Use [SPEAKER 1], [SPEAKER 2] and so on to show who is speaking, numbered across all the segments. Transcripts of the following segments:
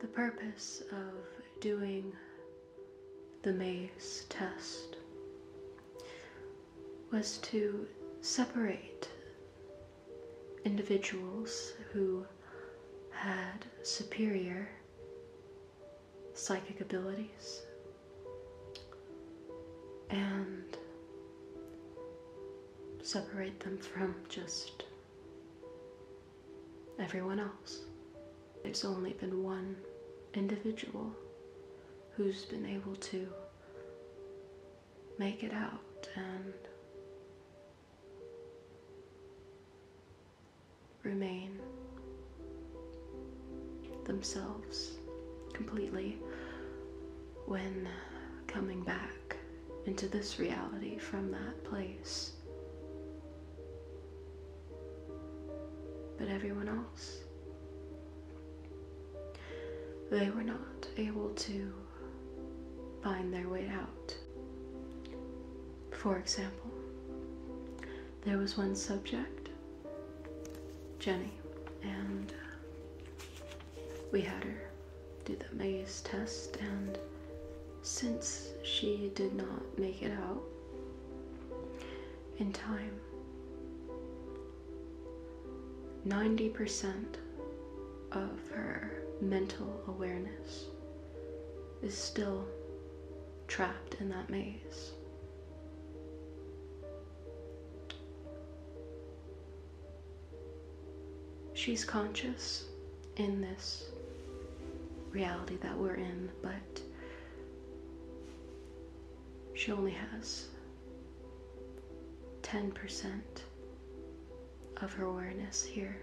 [SPEAKER 1] The purpose of doing the maze test was to separate individuals who had superior psychic abilities and separate them from just everyone else. There's only been one individual who's been able to make it out and remain themselves completely when coming back into this reality from that place. But everyone else, they were not able to find their way out. For example, there was one subject, Jenny, and we had her do the maze test, and since she did not make it out in time, 90% of her mental awareness is still trapped in that maze. She's conscious in this reality that we're in, but she only has 10% of her awareness here.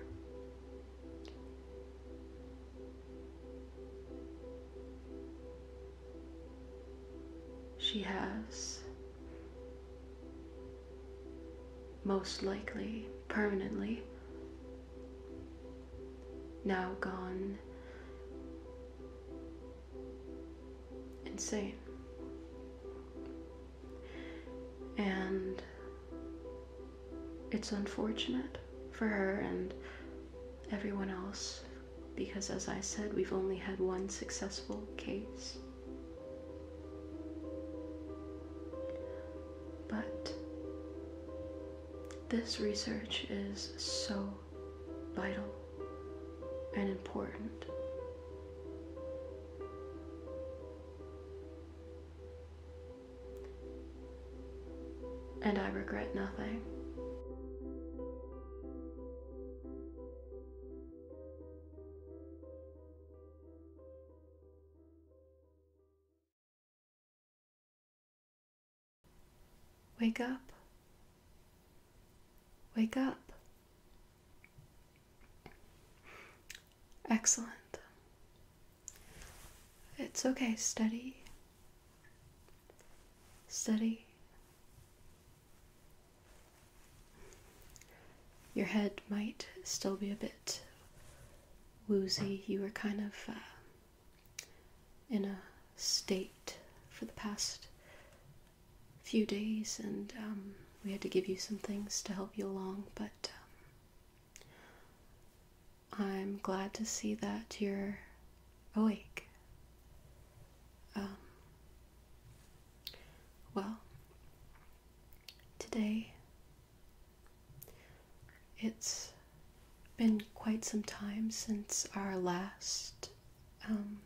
[SPEAKER 1] She has most likely permanently, now gone insane. And it's unfortunate for her and everyone else because, as I said, we've only had one successful case. But this research is so vital and important. And I regret nothing. Wake up. Wake up. Excellent. It's okay, steady. Steady. Your head might still be a bit woozy. You were kind of uh, in a state for the past few days, and um, we had to give you some things to help you along, but um, I'm glad to see that you're awake. Um, well, Today, it's been quite some time since our last um,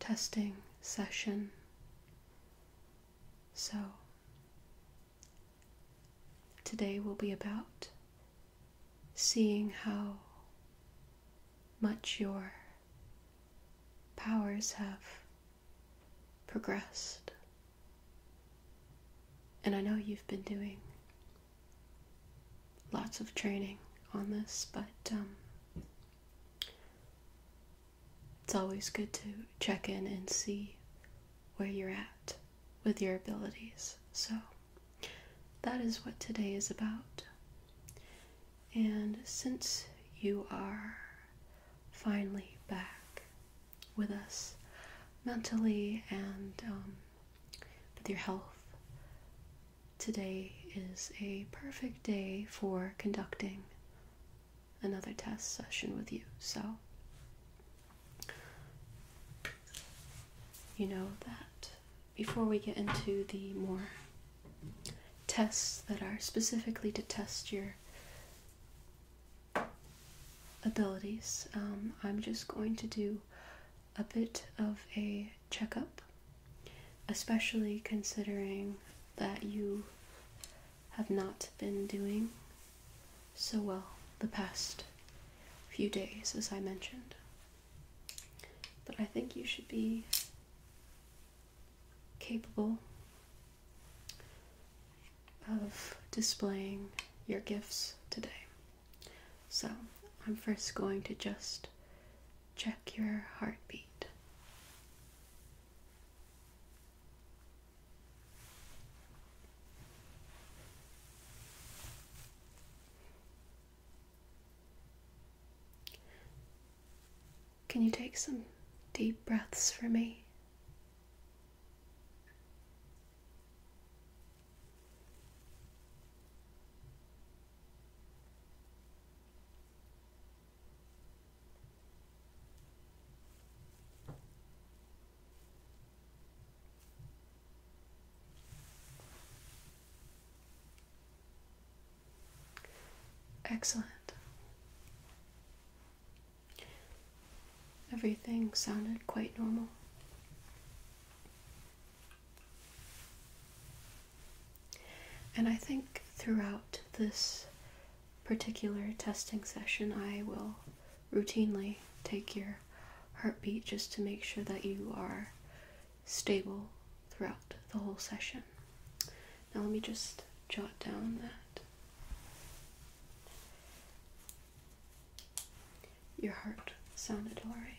[SPEAKER 1] testing session, so today will be about seeing how much your powers have progressed. And I know you've been doing lots of training on this, but um, it's always good to check in and see where you're at with your abilities. So that is what today is about. And since you are finally back with us mentally and um, with your health, today is a perfect day for conducting another test session with you. So, you know that before we get into the more tests that are specifically to test your abilities. Um, I'm just going to do a bit of a checkup, especially considering that you have not been doing so well the past few days, as I mentioned. But I think you should be capable of displaying your gifts today. So, I'm first going to just check your heartbeat. Can you take some deep breaths for me? Excellent. Everything sounded quite normal. And I think throughout this particular testing session, I will routinely take your heartbeat just to make sure that you are stable throughout the whole session. Now let me just jot down that your heart sounded all right.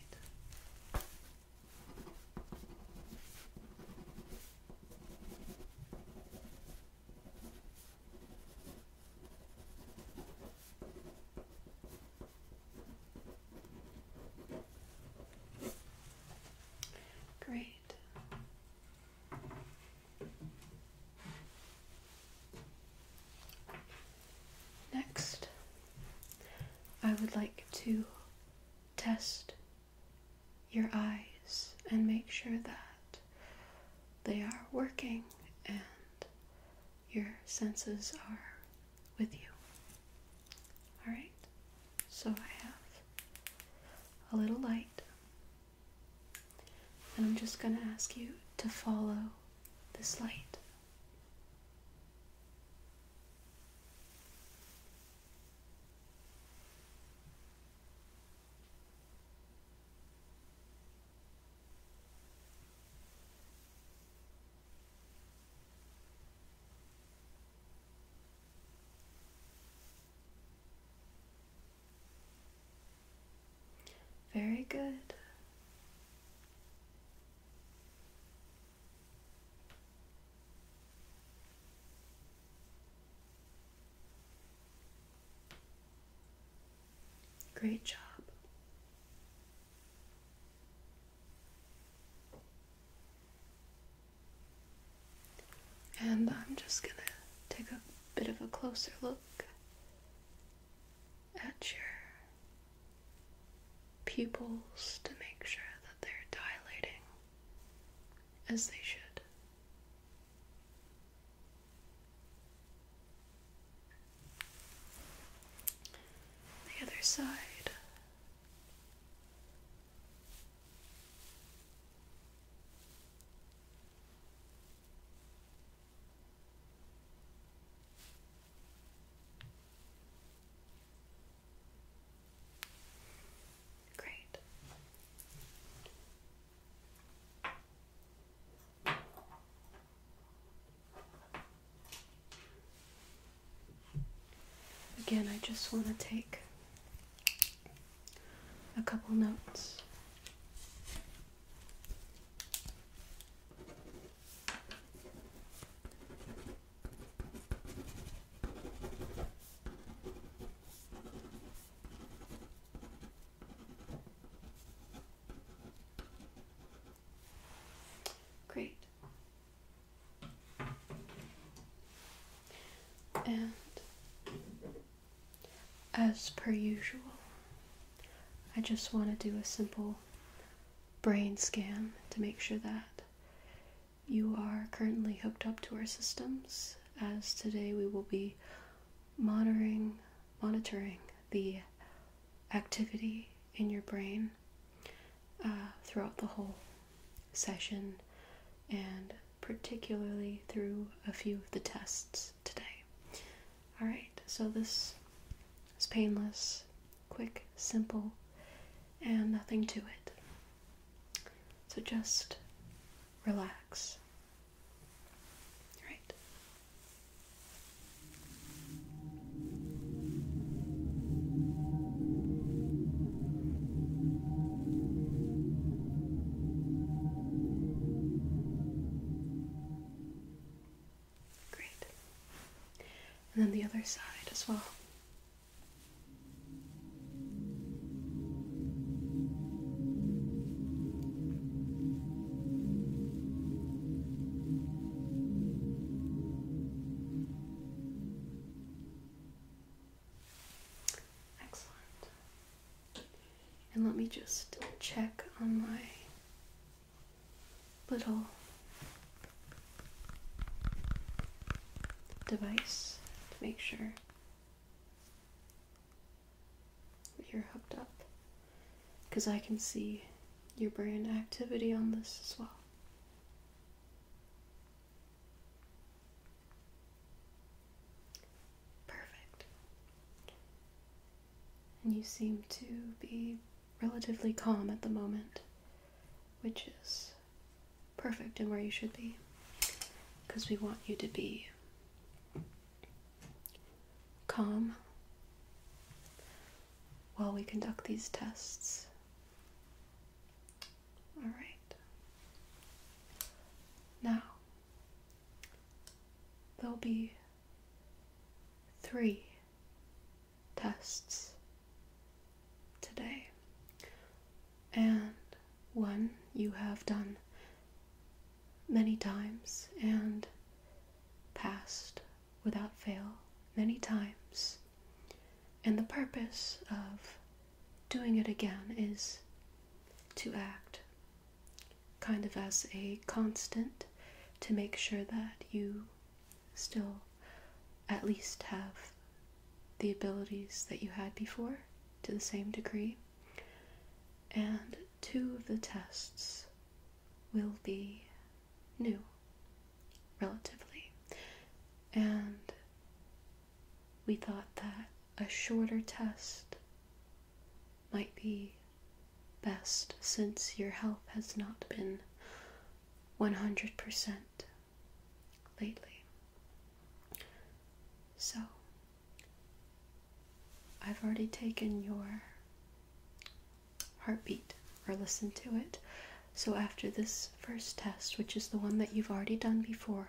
[SPEAKER 1] Great. Next, I would like to test your eyes and make sure that they are working and your senses are with you. All right? So I have a little light, and I'm just going to ask you to follow this light. Very good. Great job. And I'm just gonna take a bit of a closer look at your pupils to make sure that they're dilating as they should. The other side. Great. Again, I just want to take a couple notes. Great. And as per usual, I just want to do a simple brain scan to make sure that you are currently hooked up to our systems as today we will be monitoring monitoring the activity in your brain uh, throughout the whole session and particularly through a few of the tests today. Alright, so this is painless, quick, simple, and nothing to it. So just relax. Right. Great. And then the other side as well. Excellent. And let me just check on my little device to make sure you're hooked up because I can see your brain activity on this as well. Perfect. And you seem to be relatively calm at the moment, which is perfect and where you should be because we want you to be calm while we conduct these tests. All right. Now, there'll be three tests today, and one you have done many times and passed without fail many times. And the purpose of doing it again is to act kind of as a constant to make sure that you still at least have the abilities that you had before to the same degree. And two of the tests will be new, relatively. And we thought that a shorter test might be best since your health has not been 100% lately. So, I've already taken your heartbeat or listened to it. So, after this first test, which is the one that you've already done before,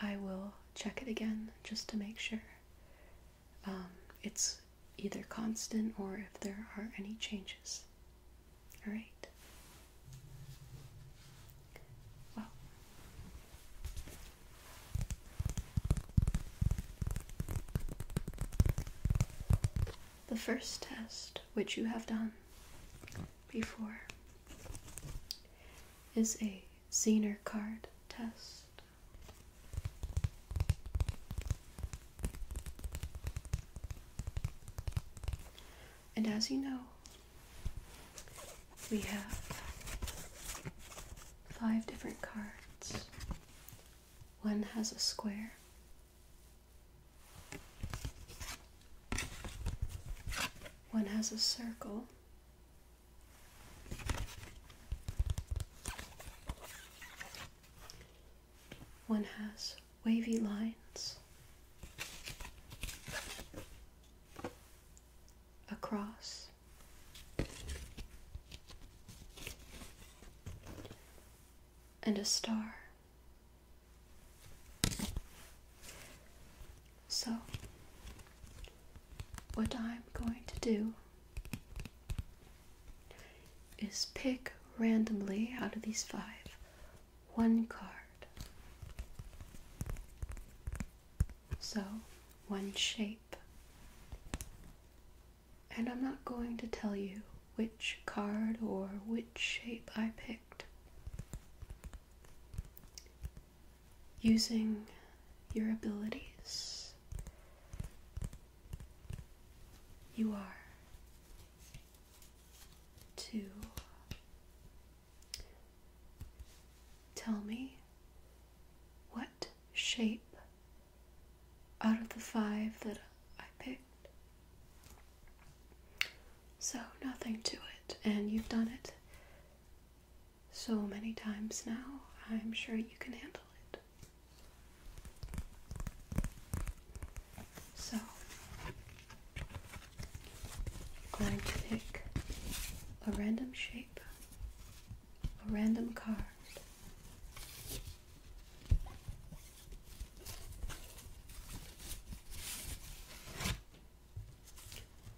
[SPEAKER 1] I will check it again just to make sure um, it's either constant or if there are any changes. All right. Well, the first test which you have done before is a Zener card test. And as you know, we have five different cards. One has a square. One has a circle. One has wavy lines a cross, And a star. So, what I'm going to do is pick randomly out of these five one card. So, one shape. And I'm not going to tell you which card or which shape I picked using your abilities. You are to tell me what shape out of the five that I picked so, nothing to it, and you've done it so many times now, I'm sure you can handle it. So, going to pick a random shape, a random card.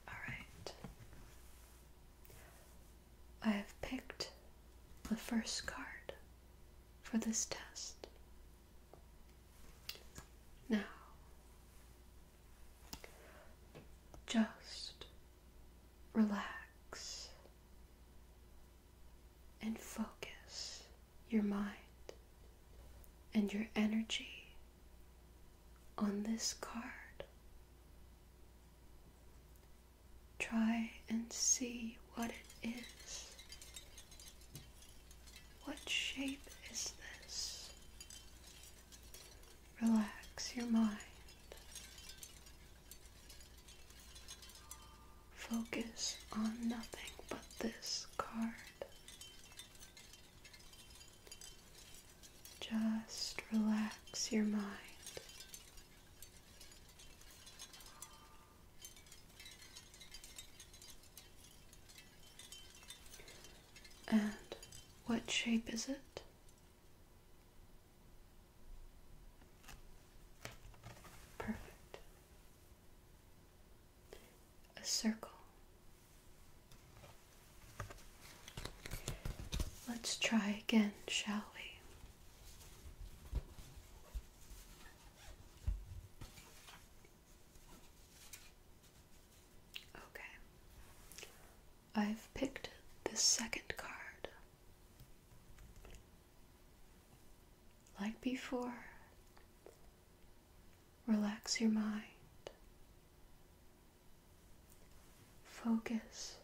[SPEAKER 1] Alright. I have picked the first card for this test. Now, just relax and focus your mind and your energy on this card. Try and see what it is. What shape is this? Relax your mind. Focus on nothing but this card. Just relax your mind. And what shape is it? Perfect a circle. Let's try again, shall we? Okay. I've picked the second card. Like before, Relax your mind. Focus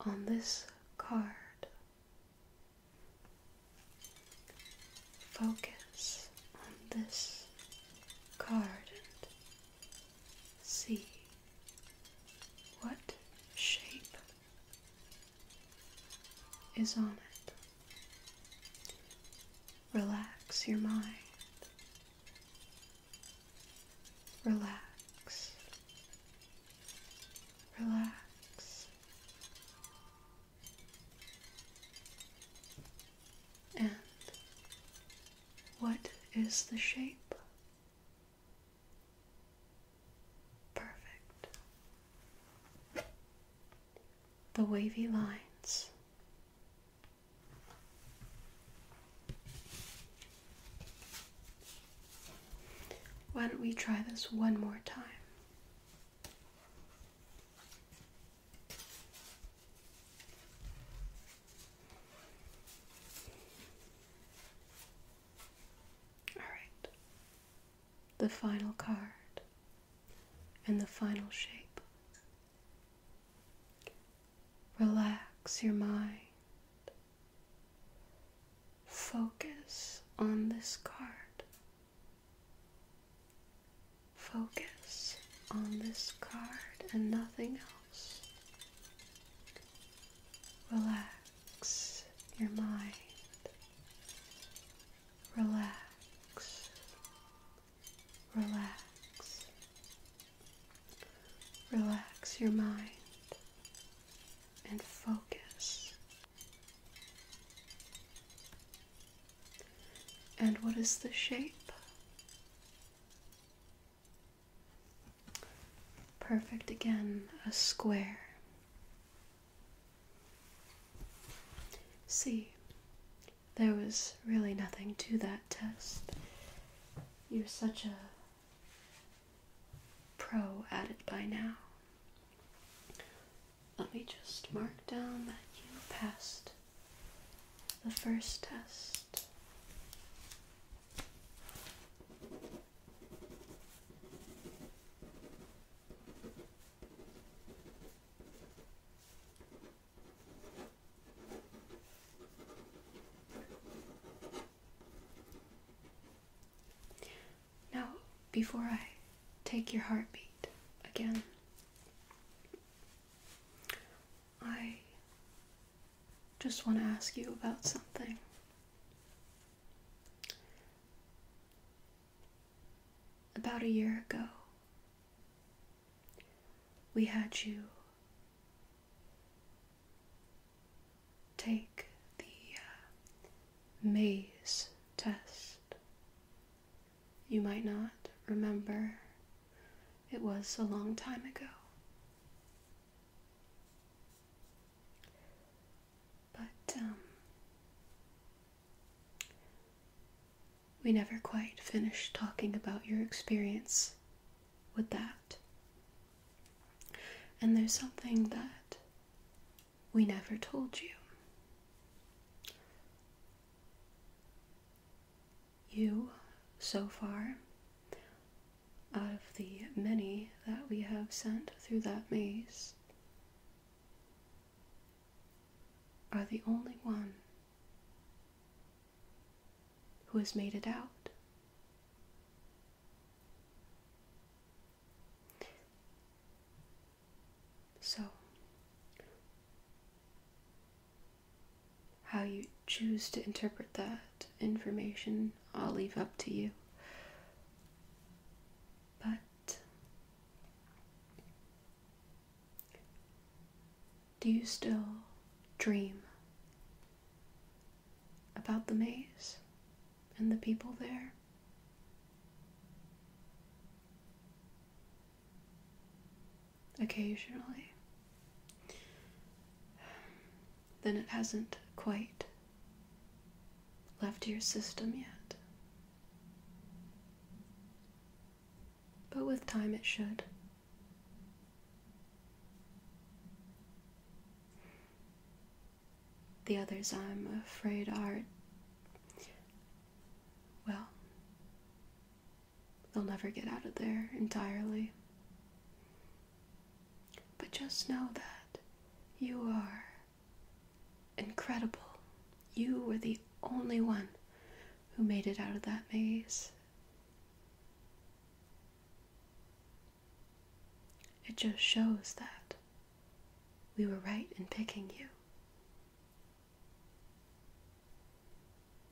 [SPEAKER 1] on this card. Focus on this card see what shape is on it. Relax your mind. Relax. Relax. And what is the shape? Perfect. The wavy lines why don't we try this one more time? All right, the final card and the final shape Relax your mind. Focus on this card. Focus on this card and nothing else. Relax your mind. Relax Relax. Relax your mind and focus. And what is the shape? Perfect again, a square. See, there was really nothing to that test. You're such a pro at it by now. Let me just mark down that you passed the first test. Now, before I take your heartbeat again, I just want to ask you about something. About a year ago, we had you take the uh, maze test. You might not remember, it was a long time ago. But um, we never quite finished talking about your experience with that. And there's something that we never told you. You, so far, out of the many that we have sent through that maze, are the only one who has made it out. So, how you choose to interpret that information, I'll leave up to you. But do you still dream about the maze and the people there? Occasionally. Then it hasn't quite left your system yet but with time it should. The others, I'm afraid, are. Well, they'll never get out of there entirely. But just know that you are incredible. You were the only one who made it out of that maze. It just shows that we were right in picking you.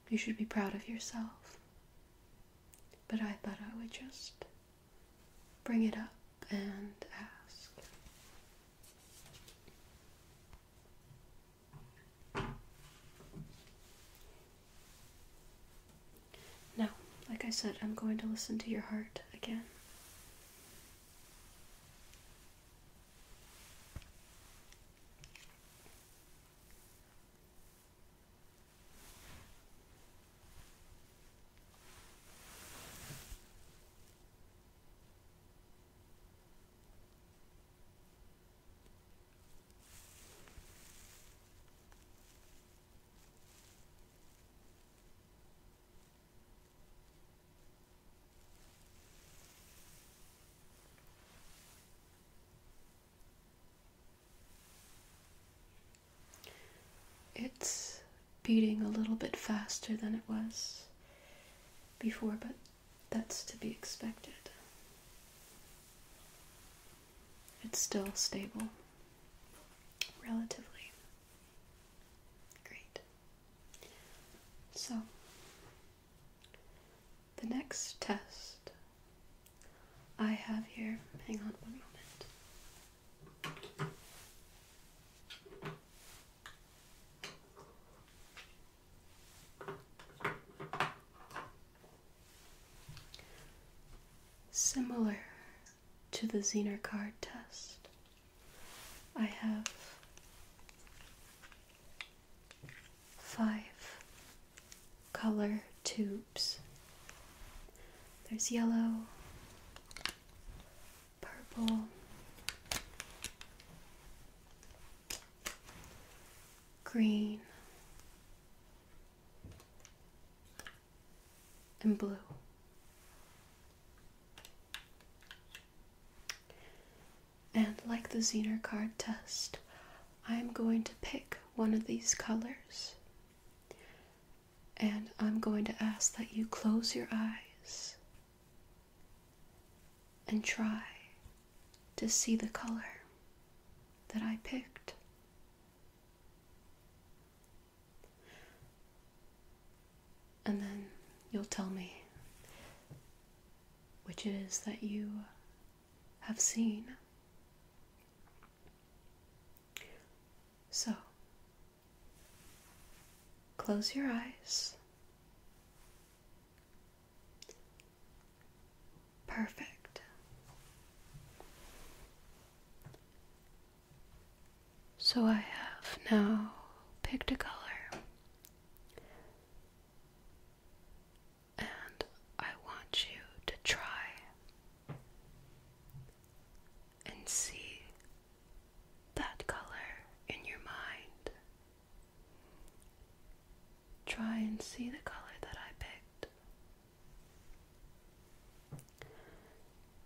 [SPEAKER 1] You should be proud of yourself. But I thought I would just bring it up and ask. Now, like I said, I'm going to listen to your heart again. It's beating a little bit faster than it was before, but that's to be expected. It's still stable, relatively. Great. So, the next test I have here, hang on one moment. Similar to the Zener card test, I have five color tubes. There's yellow, purple, green, and blue. And like the Zener card test, I'm going to pick one of these colors. And I'm going to ask that you close your eyes and try to see the color that I picked. And then you'll tell me which it is that you have seen. So, close your eyes Perfect. So I have now picked a color. And I want you to try and see that color in your mind Try and see the color that I picked.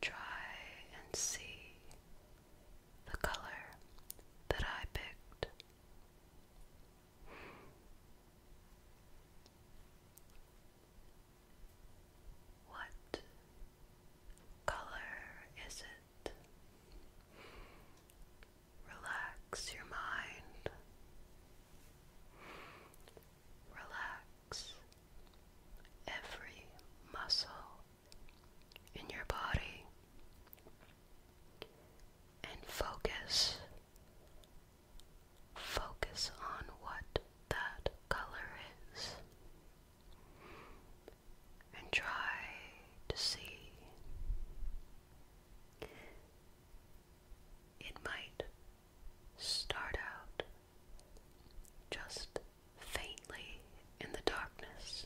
[SPEAKER 1] Try and see the color that I picked. What color is it? Relax your mind. Relax every muscle in your body and focus. Focus on what that color is and try to see it might start out just faintly in the darkness,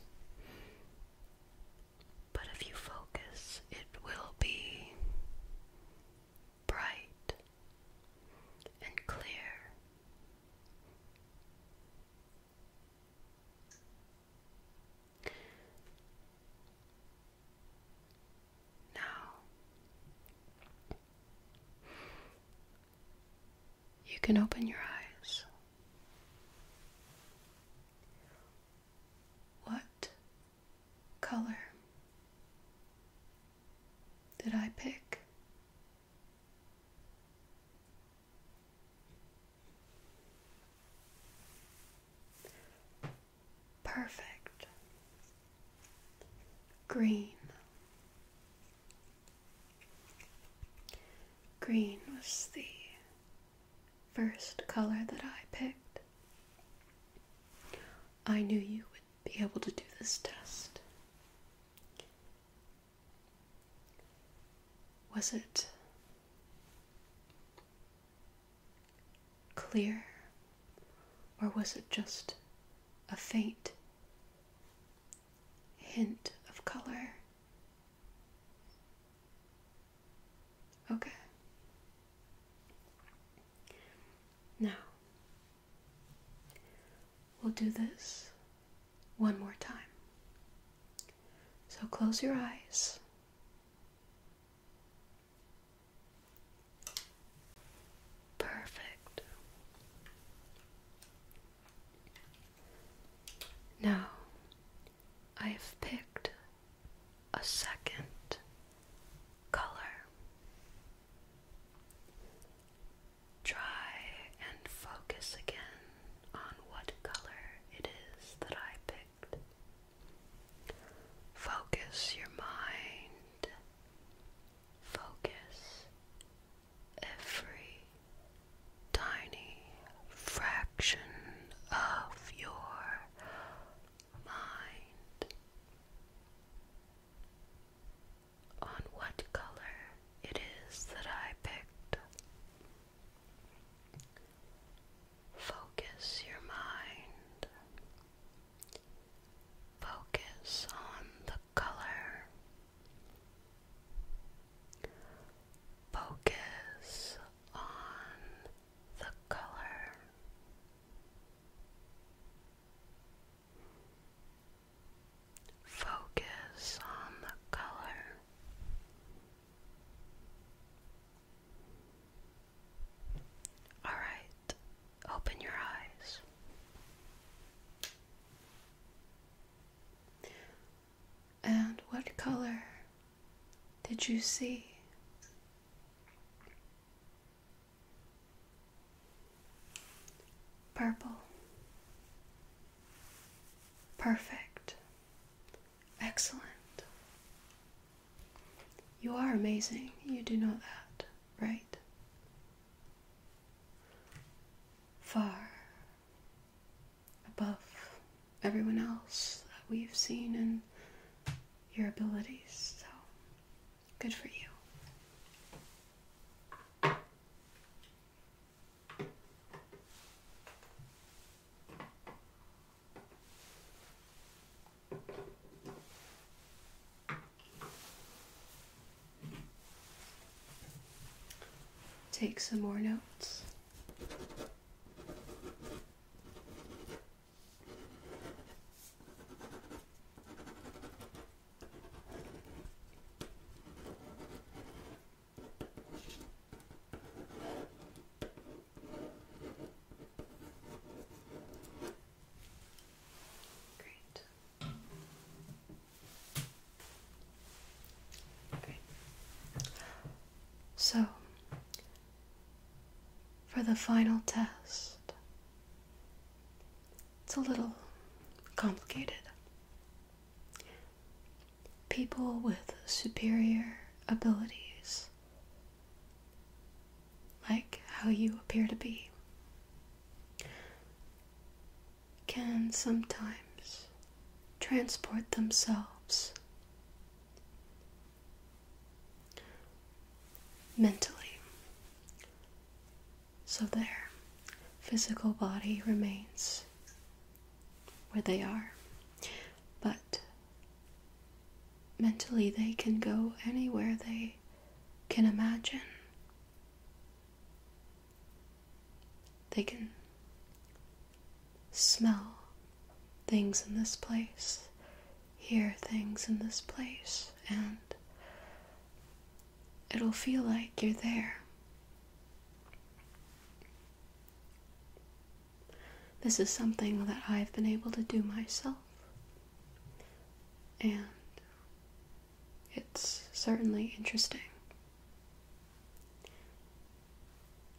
[SPEAKER 1] but if you focus, it will be bright and clear. Now, you can open your eyes. What color did I pick? Perfect. Green. Green was the first color that I picked. I knew you would be able to do this test. Was it clear, or was it just a faint hint of color? Okay. Now, we'll do this one more time. So close your eyes Perfect. Now I have picked a second color. Try and focus again on what color it is that I picked. Focus your mind. Focus every tiny fraction of your mind on what color it is that I picked. Focus your mind. Focus on the color. Focus on the color. Focus on the color. All right, open your eyes. And what color did you see? Purple. Perfect. Excellent. You are amazing. You do know that, right? Far above everyone else that we've seen in your abilities. So, good for you. Take some more notes. Great. Okay. So, for the final test, it's a little complicated people with superior abilities, like how you appear to be, can sometimes transport themselves mentally so their physical body remains where they are but mentally they can go anywhere they can imagine. They can smell things in this place, hear things in this place, and it'll feel like you're there. This is something that I've been able to do myself. And it's certainly interesting.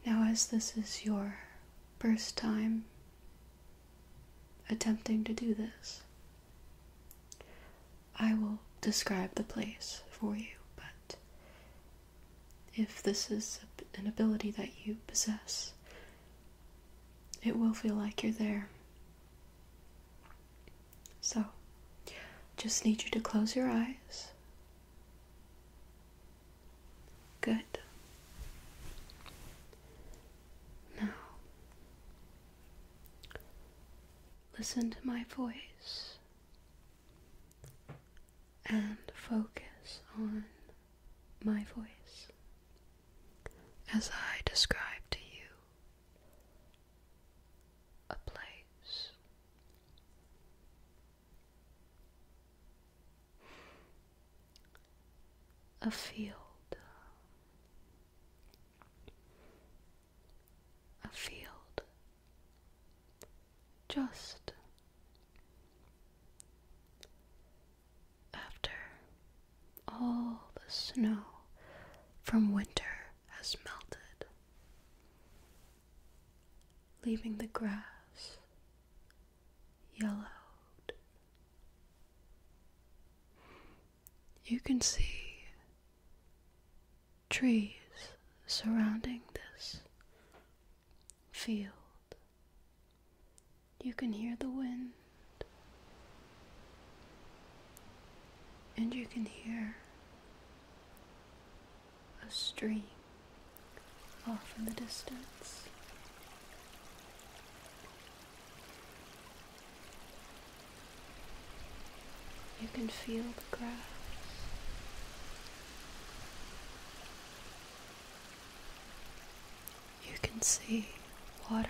[SPEAKER 1] Now, as this is your first time attempting to do this, I will describe the place for you, but if this is an ability that you possess, it will feel like you're there. So, just need you to close your eyes. Good. Now, listen to my voice and focus on my voice as I describe to you a place. A field, a field, just after all the snow from winter has melted, leaving the grass yellowed, you can see trees surrounding this field. You can hear the wind, and you can hear a stream off in the distance. You can feel the grass. You can see water,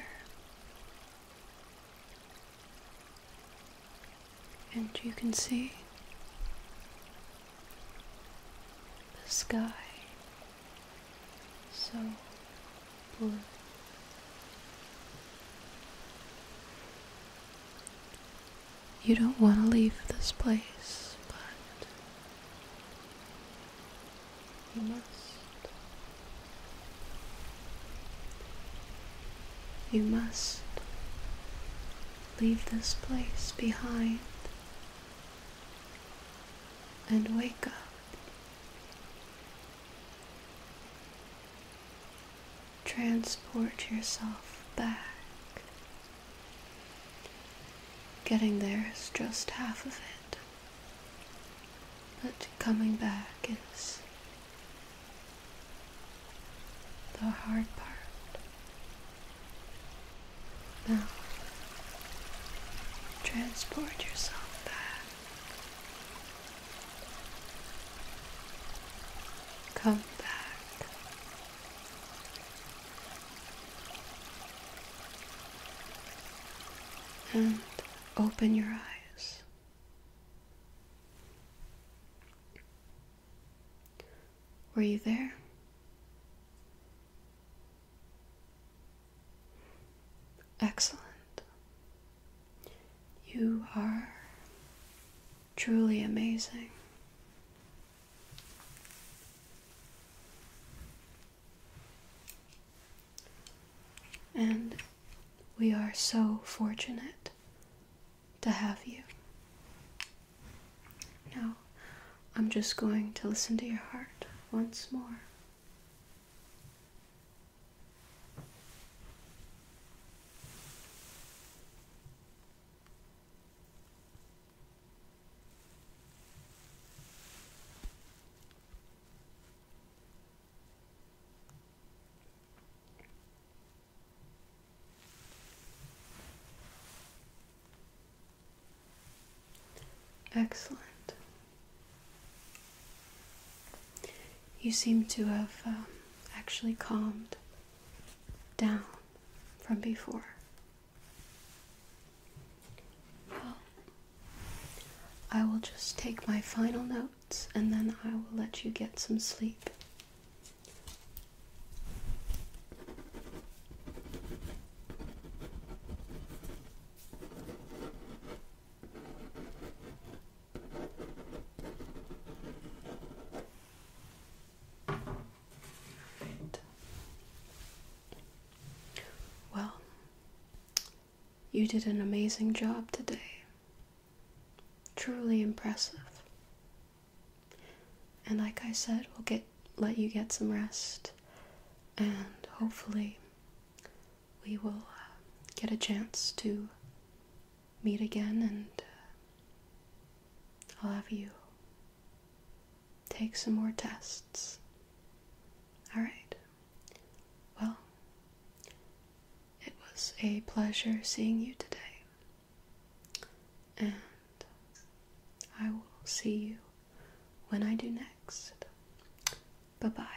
[SPEAKER 1] and you can see the sky so blue you don't want to leave this place, but you must. You must leave this place behind and wake up. Transport yourself back Getting there is just half of it. But coming back is the hard part. Now, transport yourself. back. Come back and open your eyes. Were you there? Excellent. You are truly amazing. And we are so fortunate to have you. Now, I'm just going to listen to your heart once more. Excellent. You seem to have um, actually calmed down from before. I will just take my final notes and then I will let you get some sleep. Well, you did an amazing job today. Truly impressive. And like I said, we'll get let you get some rest and hopefully we will uh, get a chance to meet again and uh, I'll have you Take some more tests. Alright. Well, it was a pleasure seeing you today. And I will see you when I do next. Bye bye.